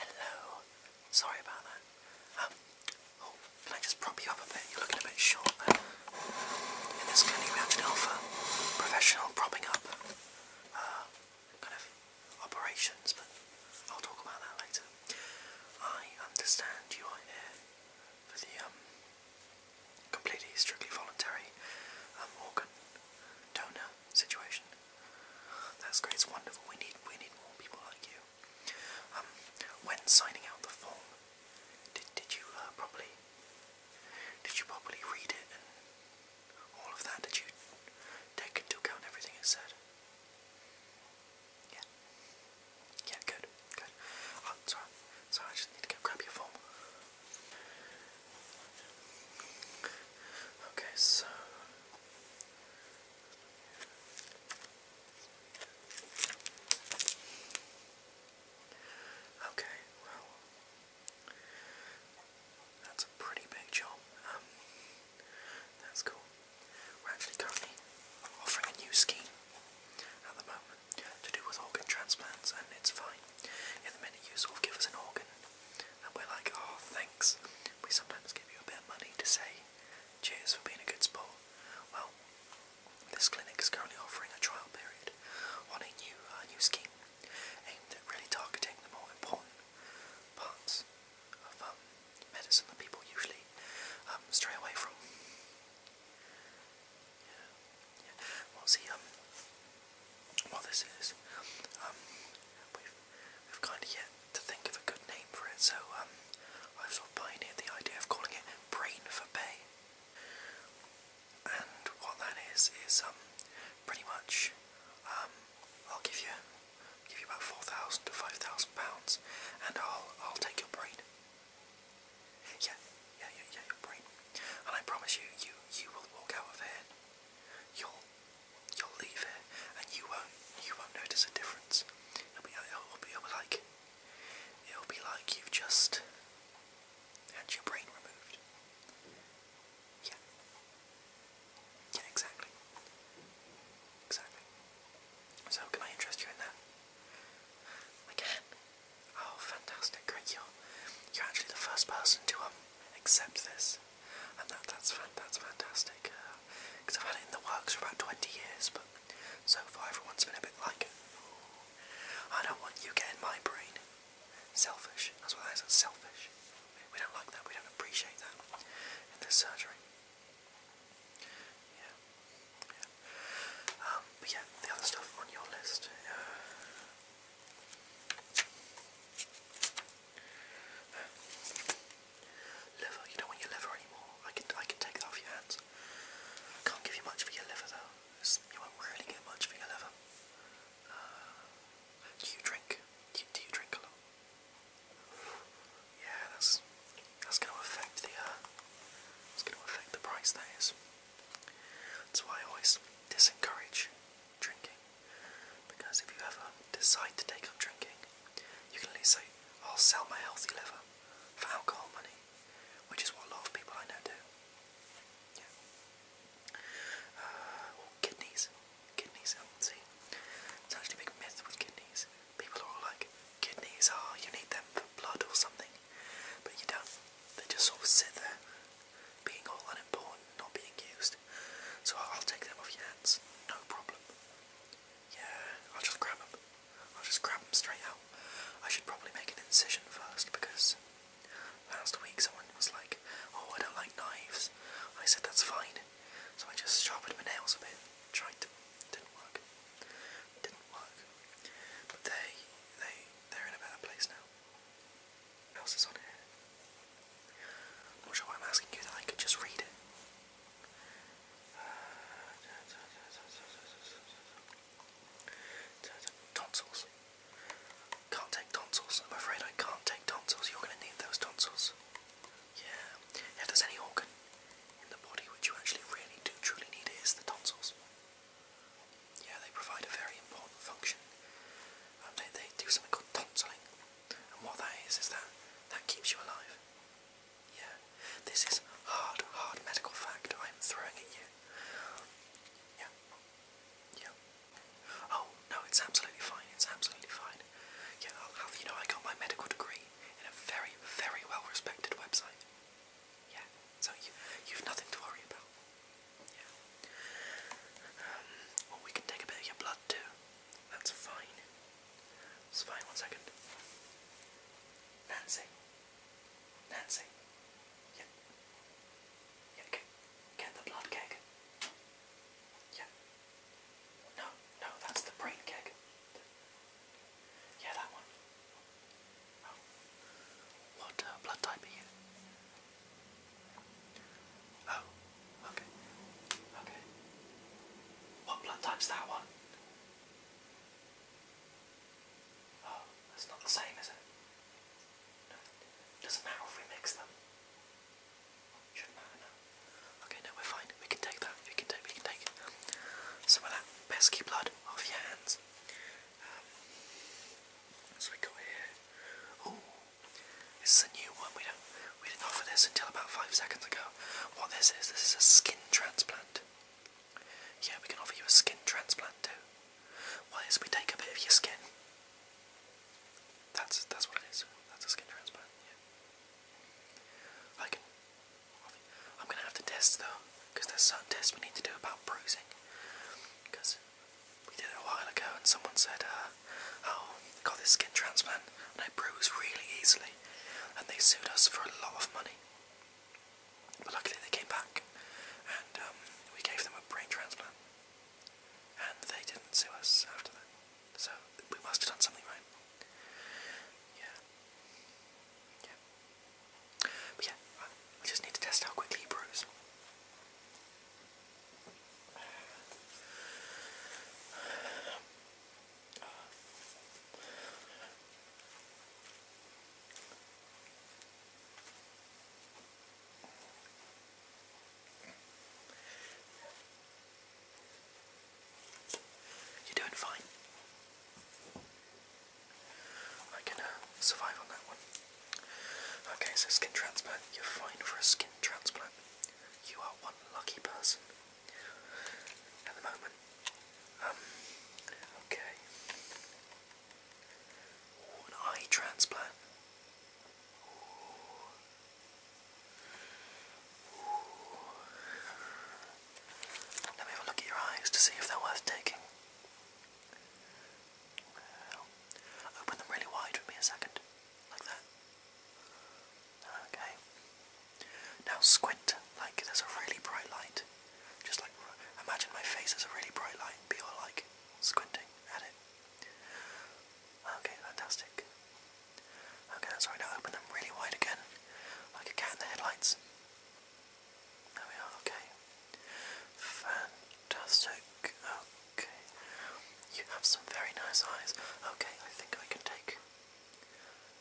Hello. Sorry about that. Um, oh, can I just prop you up a bit? You're looking a bit short there. In this clinic we actually professional propping up uh, kind of operations, but I'll talk about that later. I understand you are here for the um, completely strictly voluntary um, organ donor situation. That's great. It's wonderful. We need we need more people like you. Um, when signing out the form, did did you uh, properly did you properly read it and all of that? Did you take into account everything it said? Yeah. Yeah. Good. Good, good. Oh, I just need to go grab your phone. Okay, so. Okay, well. That's a pretty big job. Um, that's cool. We're actually currently offering a new scheme at the moment to do with organ transplants, and it's fine. In the minute you sort of give us an organ, and we're like, oh, thanks, we sometimes give you a bit of money to say, cheers for being a good sport. Well, this clinic is currently offering a trial period on a new, uh, scheme aimed at really targeting the more important parts of um, medicine that people usually um, stray away from. Yeah. yeah. Well, see, um, what this is, um, we've, we've kind of yet to think of a good name for it, so, um, I've sort of pioneered the idea of calling it Brain for Pay. And what that is, is, um, pretty much, um, I'll give you, give you about 4,000 to 5,000 pounds, and I'll, I'll take your brain. Yeah, yeah, yeah, yeah, you're right. And I promise you, you you will walk out of here. You'll you'll leave here, and you won't you won't notice a difference. It'll be it'll be, it'll be like it'll be like you've just had your brain removed. Yeah. Yeah, exactly. Exactly. So can I interest you in that? I can. Oh, fantastic! Great, you're you're actually the first person to um accept this, and that that's fan that's fantastic. Because uh, I've had it in the works for about twenty years, but so far everyone's been a bit like, I don't want you getting my brain. Selfish. That's what I said selfish. We don't like that. We don't appreciate that in this surgery. Yeah. Um, but yeah, the other stuff on your list. Uh, liver, you don't want your liver anymore. I can I can take that off your hands. I can't give you much for your liver though. you won't really get much for your liver. Uh, do you drink? Do you, drink a lot? Yeah, that's going to affect the. Uh, it's going to affect the price. That is. That's why I always discourage drinking, because if you ever decide to take up drinking, you can at least say, "I'll sell my healthy liver for alcohol money," which is what a lot of people I know do. Yeah. Uh, kidneys. Kidneys, I um, see. It's actually a big myth with kidneys. People are all like, kidneys are, you need them for blood or something. But you don't. They just sort sit there, being all unimportant, not being used. So I'll take them off your hands, no problem. Yeah, I'll just grab them. I'll just grab them straight out. I should probably make an incision first because last week someone was like, oh, I don't like knives. I said that's fine. So I just sharpened my nails a bit, tried to. Didn't work. But they they they're in a better place now. What else is on here? I'm not sure why I'm asking you that I could just read it. Tonsils. Can't take tonsils. I'm afraid I can't take tonsils. You're gonna need those tonsils. Yeah. If there's any organ in the body which you actually really do truly need is the tonsils. Yeah, they provide a very important function. Um, they, they do something called tonsilling, and what that is is that that keeps you alive. Yeah, this is hard, hard medical fact I'm throwing at you. Yeah, yeah. Oh no, it's absolutely fine. It's absolutely fine. Yeah, I'll have you know I got my medical degree in a very, very well respected website. Yeah, so you you've nothing to worry about. Yeah. Um, well, we can take a bit of your blood too. That's fine. It's fine. One second. Nancy. Nancy. Yeah. Yeah. Get, the blood keg. Yeah. No, no, that's the brain keg. Yeah, that one. Oh. What uh, blood type are you? Oh, okay. Okay. What blood type's that one? Oh, that's not the same, as it? No. Doesn't matter if we mix them. Shouldn't matter now. Okay, no, we're fine. We can take that. We can take. We can take some of that pesky blood off your hands. Um, so we got here. Oh, this is a new one. We don't. We didn't offer this until about five seconds ago. What this is? This is a skin transplant. Yeah, we can offer you a skin transplant too. Why What is? We take a bit of your skin. That's that's what it is. That's a skin transplant. Yeah. I can I'm gonna have to test though, because there's certain tests we need to do about bruising. Because we did it a while ago, and someone said, uh, "Oh, got this skin transplant, and it bruised really easily," and they sued us for a lot of money. But luckily, they came back, and um, we gave them a brain transplant, and they didn't sue us after that. So we must have done something right. Yeah. Yeah. But yeah, I, just need to test how quickly he brews. You're doing fine. I can uh, survive on that one. Okay, so skin transplant. You're fine for a skin transplant. You are one lucky person at the moment. Um, okay. eye transplant. Let me have a look at your eyes to see if they're worth taking. open them really wide for me a second, like that. Okay. Now squint like there's a really bright light. Just like imagine my face is a really bright light, and you're like squinting at it. Okay, fantastic. Okay, that's right, now open them really wide again, like a cat in the headlights. There we are, okay. Fantastic, okay. You have some very nice eyes. Okay, I think I can take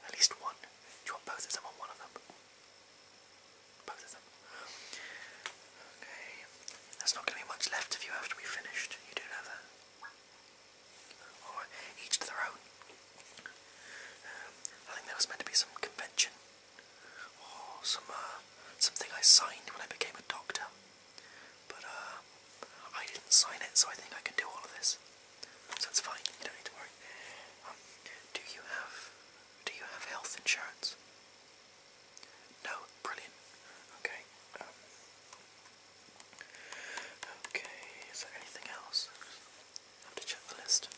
at least one. Do you want both of them or one of them? Both of them. Okay, there's not going to be much left of you after we finished. You do know that each to their own. Um, I think there was meant to be some convention some uh, something I signed when I became a doctor, but uh, I didn't sign it, so I think I can do all of this. So fine. You don't need to worry. Um, do you have do you have health insurance? No, brilliant. Okay. Um, Okay, is there anything else? have to check the list.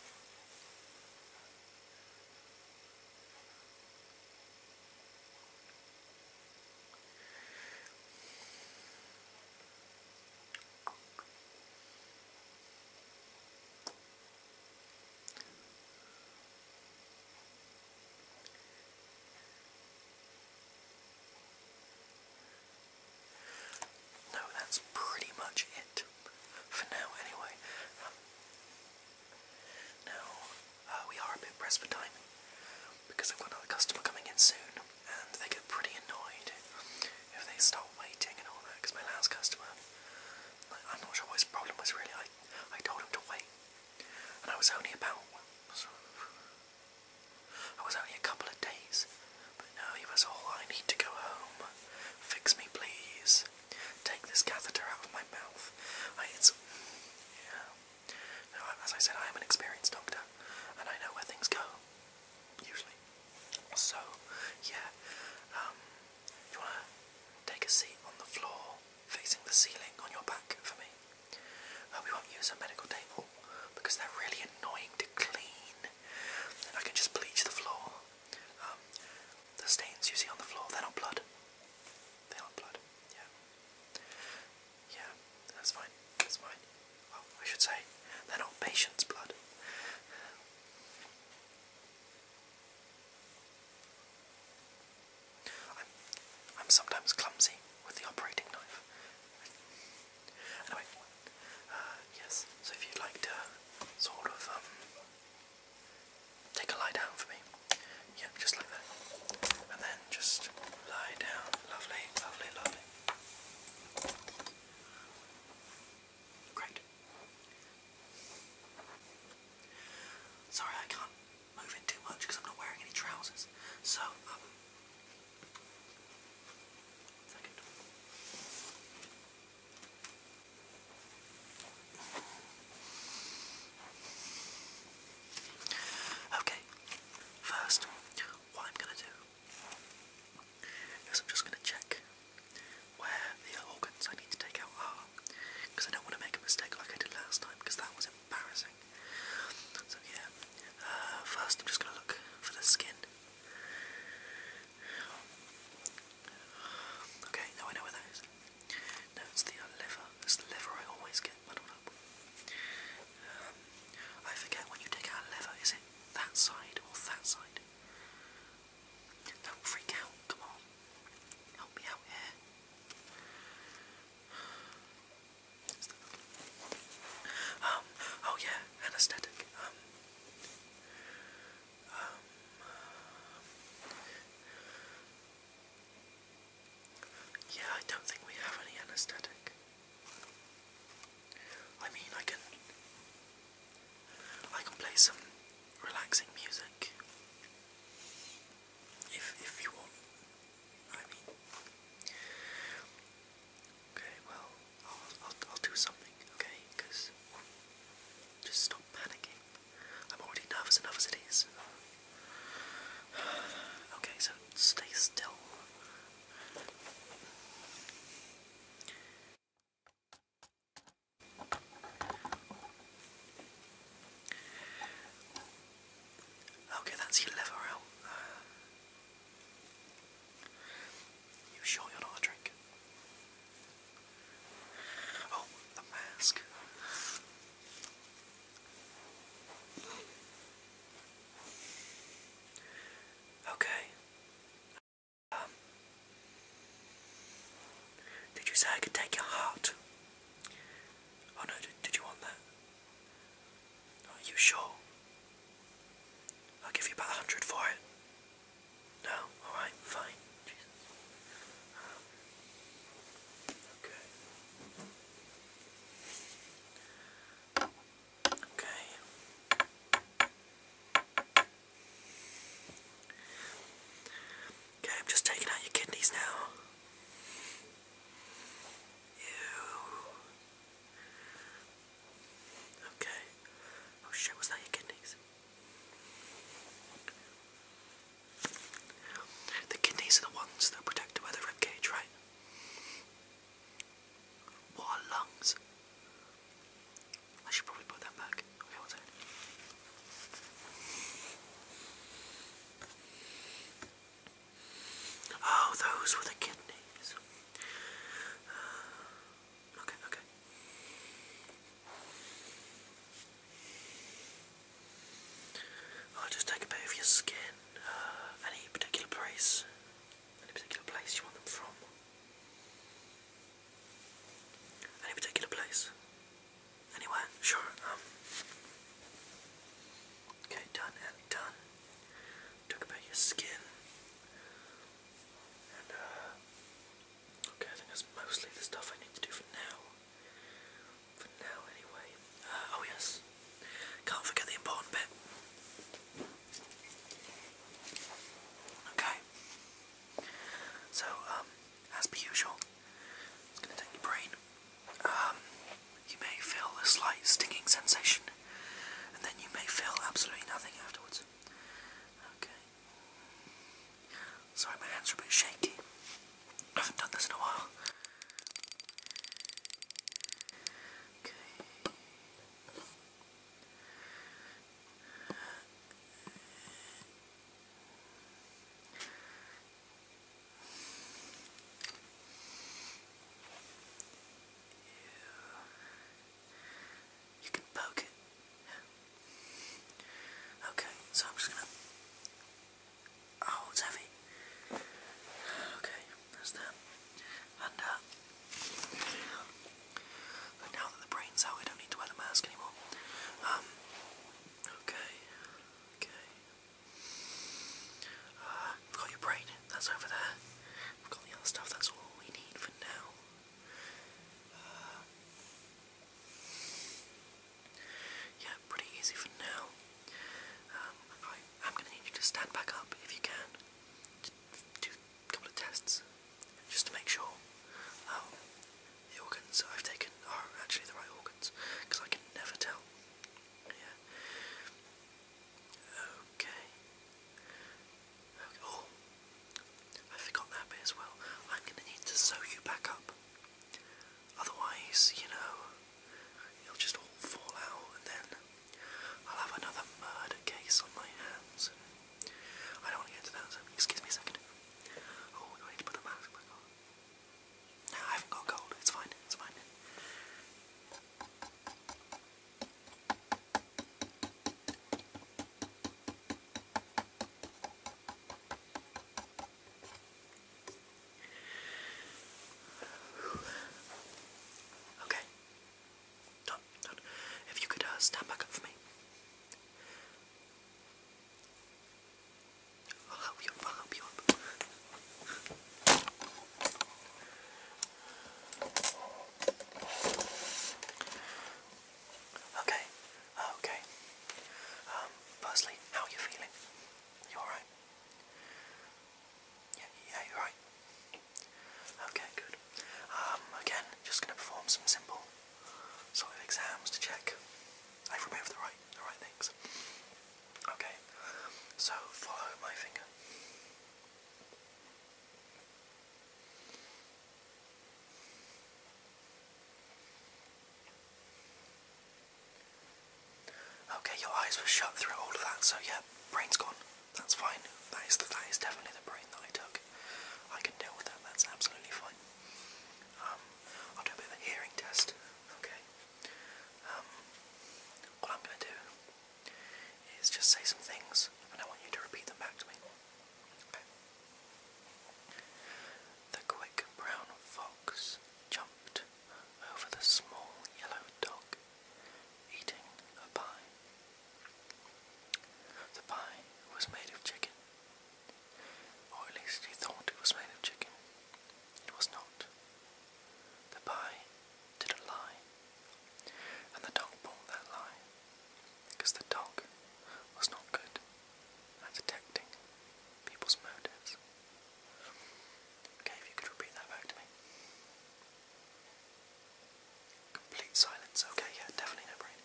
No, that's pretty much it for now anyway. Um, now, uh, we are a bit pressed for time because I've got another customer coming in soon and they get pretty annoyed if they start waiting and all that because my last customer, like, I'm not sure what his problem was really. I, I told him to wait and I was only about sort of I was only a couple of days, but no, he was all I need to go home. Fix me, please. Take this catheter out of my mouth. it's. Yeah. No, as I said, I am an experienced doctor, and I know where things go. Usually. So, yeah. Um, you wanna take a seat on the floor, facing the ceiling on your back for me? Oh, we won't use a medical table because they're really annoying to clean. I can just bleach the floor. Um, the stains you see on the floor, they're not blood. They aren't blood. Yeah. Yeah, that's fine. That's fine. Well, I should say, they're not patient's blood. I'm, I'm sometimes clumsy with the operating knife. Anyway, uh, yes, so if you'd like to sort of um, take a lie down for me, yeah, just like that. And then just lie down, lovely, lovely, lovely. Great. Sorry, I can't moving too much because I'm not wearing any trousers. So, um, Okay, first, what I'm going to do is I'm just going to check where the organs I need to take out are because I don't want to make a mistake like I did last time because that was so yeah, uh, first I'm just gonna look for the skin. Okay, now I know where that is. No, it's the liver. It's the liver I always get muddled up. Um, I forget when you take out liver, is it that side or that side? Don't freak out, come on. Help me out here. Um, oh yeah, anesthetic. Um, um, yeah, I don't think we have any anesthetic. I mean, I can, I can play some relaxing music if if you want. I okay, well, I'll, I'll, I'll do something, okay? just stop panicking. I'm already nervous enough as it is. Okay, so stay still. Okay, that's your liver out. you sure you're not a drink? Oh, the mask. Okay. Um, did you say I could take your heart? Oh no, did you want that? Are you sure? I'll give you about a hundred for it. No? Alright, fine. okay. Okay. Okay, I'm just taking out your kidneys now. Ew. Okay. Oh shit, was that your kidneys? The kidneys are the ones that protect the rib cage, right? What are lungs? I should probably put them back. Okay, one second. Oh, those were the kidneys. Uh, okay, okay. I'll just take a bit of your skin. Uh, any particular place? Any particular place you want them from? Any particular place? Anyway, sure. Um, okay, done and done. Talk about your skin. Uh, okay, I think that's mostly the stuff I need to do for now. For now, anyway. Uh, oh, yes. Can't forget the important bit. Okay. So, um, as per usual, it's going to take your brain. Um, you may feel a slight stinging sensation, and then you may feel absolutely nothing afterwards. Okay. Sorry, my hands are a bit shaky. I haven't done this in a while. Okay. You can poke it. Okay, so I'm just gonna. Oh, it's heavy. Okay, that's that. And uh, now that the brain's out, I don't need to wear the mask anymore. Um. Okay. Okay. Uh, we've got your brain, that's over there. We've got the other stuff, that's all we need for now. Uh, yeah, pretty easy for now. Um, I, am going to need you to stand back up if you can. Do a couple of tests, just to make sure. Um, the organs I've taken are oh, actually the right organs, because I can never tell. Yeah. Okay. Oh, I forgot that bit as well. I'm going to need to sew you back up. Otherwise, you know, it'll just all fall out, and then I'll have another murder case on my hands. I don't want to get into that, excuse me a second. Oh, do need to put the mask back on? No, I haven't got cold. It's fine. It's fine. Okay. Done. Done. If you could uh, stand back up for me. I'll help you up, I'll help you up. Okay, okay. Um, firstly, how are you feeling? You alright? Yeah, yeah, you're right. Okay, good. Um, again, just gonna perform some simple solid exams to check I've removed the right the right things. Okay, so follow my finger. Okay, your eyes were shut through all of that, so yeah, brain's gone. That's fine. That is the, that is definitely the brain that I took. I can deal with that. That's absolutely fine. Um, I'll do a bit of a hearing test. Okay. Um, what I'm going to do is just say some things, and I want you to repeat them back to me. The quick brown fox jumped over the small yellow dog, eating a pie. The pie was made of chicken or at least he thought it was made of chicken. It was not. The pie did a lie, and the dog bought that lie, because the dog was not good at detecting people's motives. Okay, if you could repeat that back to me. Complete silence. Okay, yeah, definitely no brain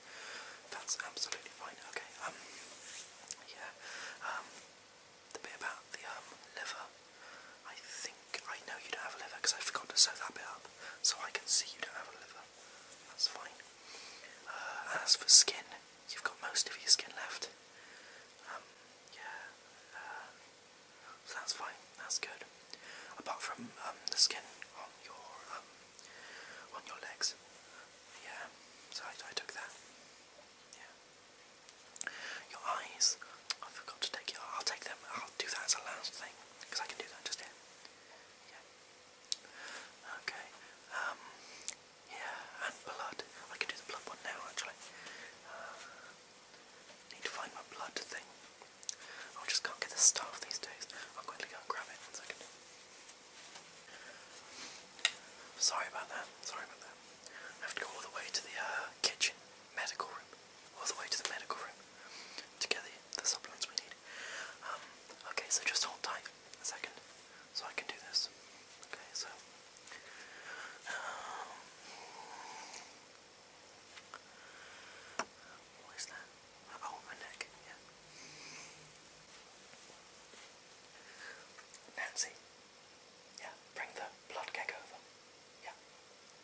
that's absolutely fine. Okay, um, yeah, um, the bit about the um, liver, I think I know you don't have a liver because I forgot to sew that bit up, so I can see you don't have a liver. That's fine. Uh, as for skin, you've got most of your skin left. Um, yeah, uh, so that's fine. That's good. Apart from um, the skin on your um, on your legs, yeah, so I, took that. Yeah. Your eyes. I forgot to take your. I'll take them. do that as a last thing because I can do that just here. Yeah. Okay. Um. Yeah, and blood. I can do the blood one now actually. Uh, need to find my blood thing. I just can't get the staff these days. I'll quickly go and grab it one second. Sorry about that, sorry about that. I have to go all the way to the uh, kitchen, medical room, all the way to the medical room to the, supplements we need. Um, okay, so just hold tight a second so I can do this. Okay, so. Um, what is that? Oh, my neck, yeah. Nancy, yeah, bring the blood cake over. Yeah,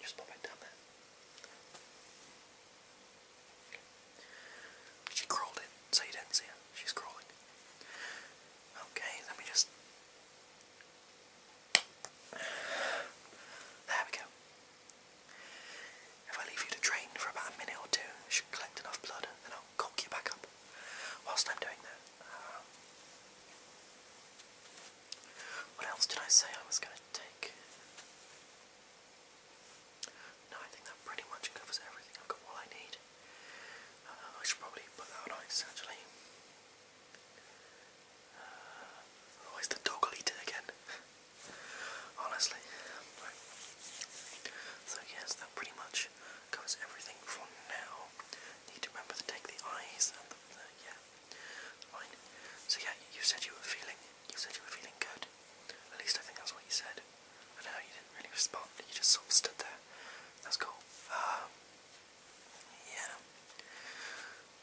just pop it down there. She crawled in, so you didn't see her. She's crawling. Okay, let me just. There we go. If I leave you to drain for about a minute or two, it should collect enough blood and I'll cock you back up whilst I'm doing that. Uh, what else did I say I was going to take? No, I think that pretty much covers everything. I've got all I need. Uh, I should probably put that on actually. Uh, the doggle eater again. honestly. So yes, that pretty much covers everything for now. Need to remember to take the eyes and the, yeah. Fine. So yeah, you said you were feeling you said you were feeling good. At least I think that's what you said. I know, you didn't really respond, you just sort of stood there. That's cool. Um yeah.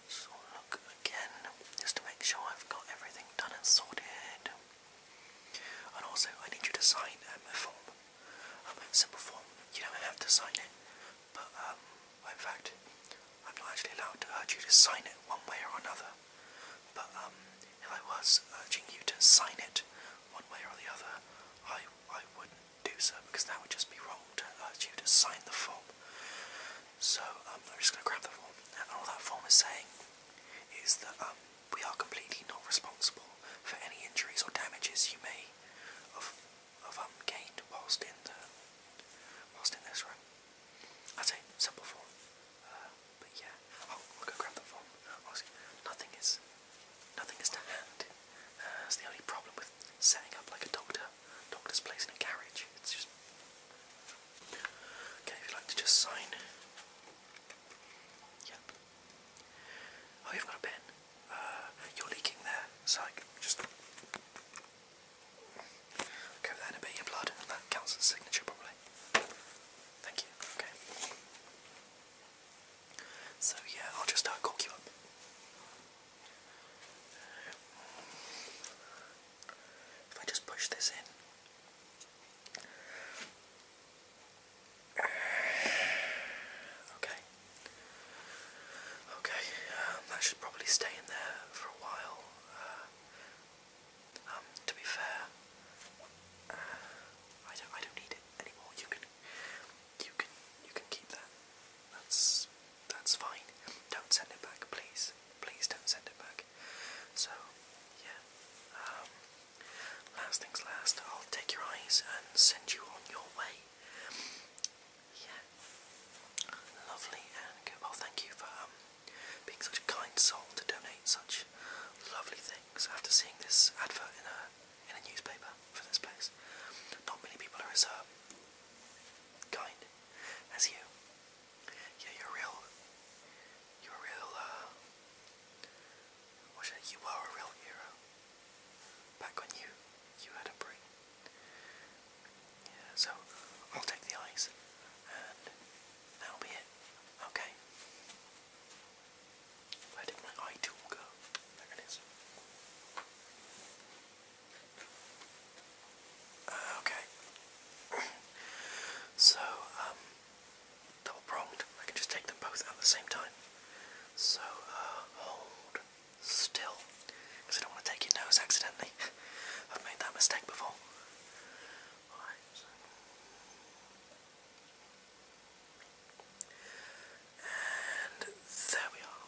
So look again, just to make sure I've got everything done and sorted. And also, I need you to sign um, a form. Um, a simple form. You don't have to sign it, but um, in fact, I'm not actually allowed to urge you to sign it one way or another. But um, if I was urging you to sign it one way or the other, I I wouldn't do so because that would just be wrong to urge you to sign the form. So um, I'm just going to grab the form, and all that form is saying is that um, we are completely not responsible for any injuries or damages you may have, have um, gained whilst in the whilst in this room. I it, simple form. Uh, but yeah, oh, will go grab the form. nothing is nothing is to hand. that's uh, the only problem with setting up like a doctor, doctor's place in a carriage. It's just Okay, if you'd like to just sign. Yep. Oh, you got a pen. Uh, you're leaking there. Psych. Just go with a bit of your blood. That counts as a signature, probably. Thank you. Okay. So, yeah, I'll just uh, you up. If I just push this in. Okay. Okay, um, that should probably stay in there for a while. Uh, um, to be fair, uh, I don't. I don't need it anymore. You can. You can. You can keep that. That's. That's fine. Don't send it back, please. Please don't send it back. So, yeah. Um, last things last, I'll take your eyes and send you on your way. Yeah. Lovely and good. Well, oh, thank you for um, being such a kind soul to donate such lovely things after seeing this advert in a in a newspaper for this place. Not many people are as uh, kind as you. Yeah, you're real. You're real, uh, what's it? You are a real hero. Back when you, you had a brain. Yeah, so I'll take the eyes, and that'll be it. Okay. Where did my eye tool go? There it is. Uh, okay. so, um, double pronged. I can just take them both at the same time. So, uh, hold still. Because I don't want to take your nose accidentally. I've made that mistake before. And there we are.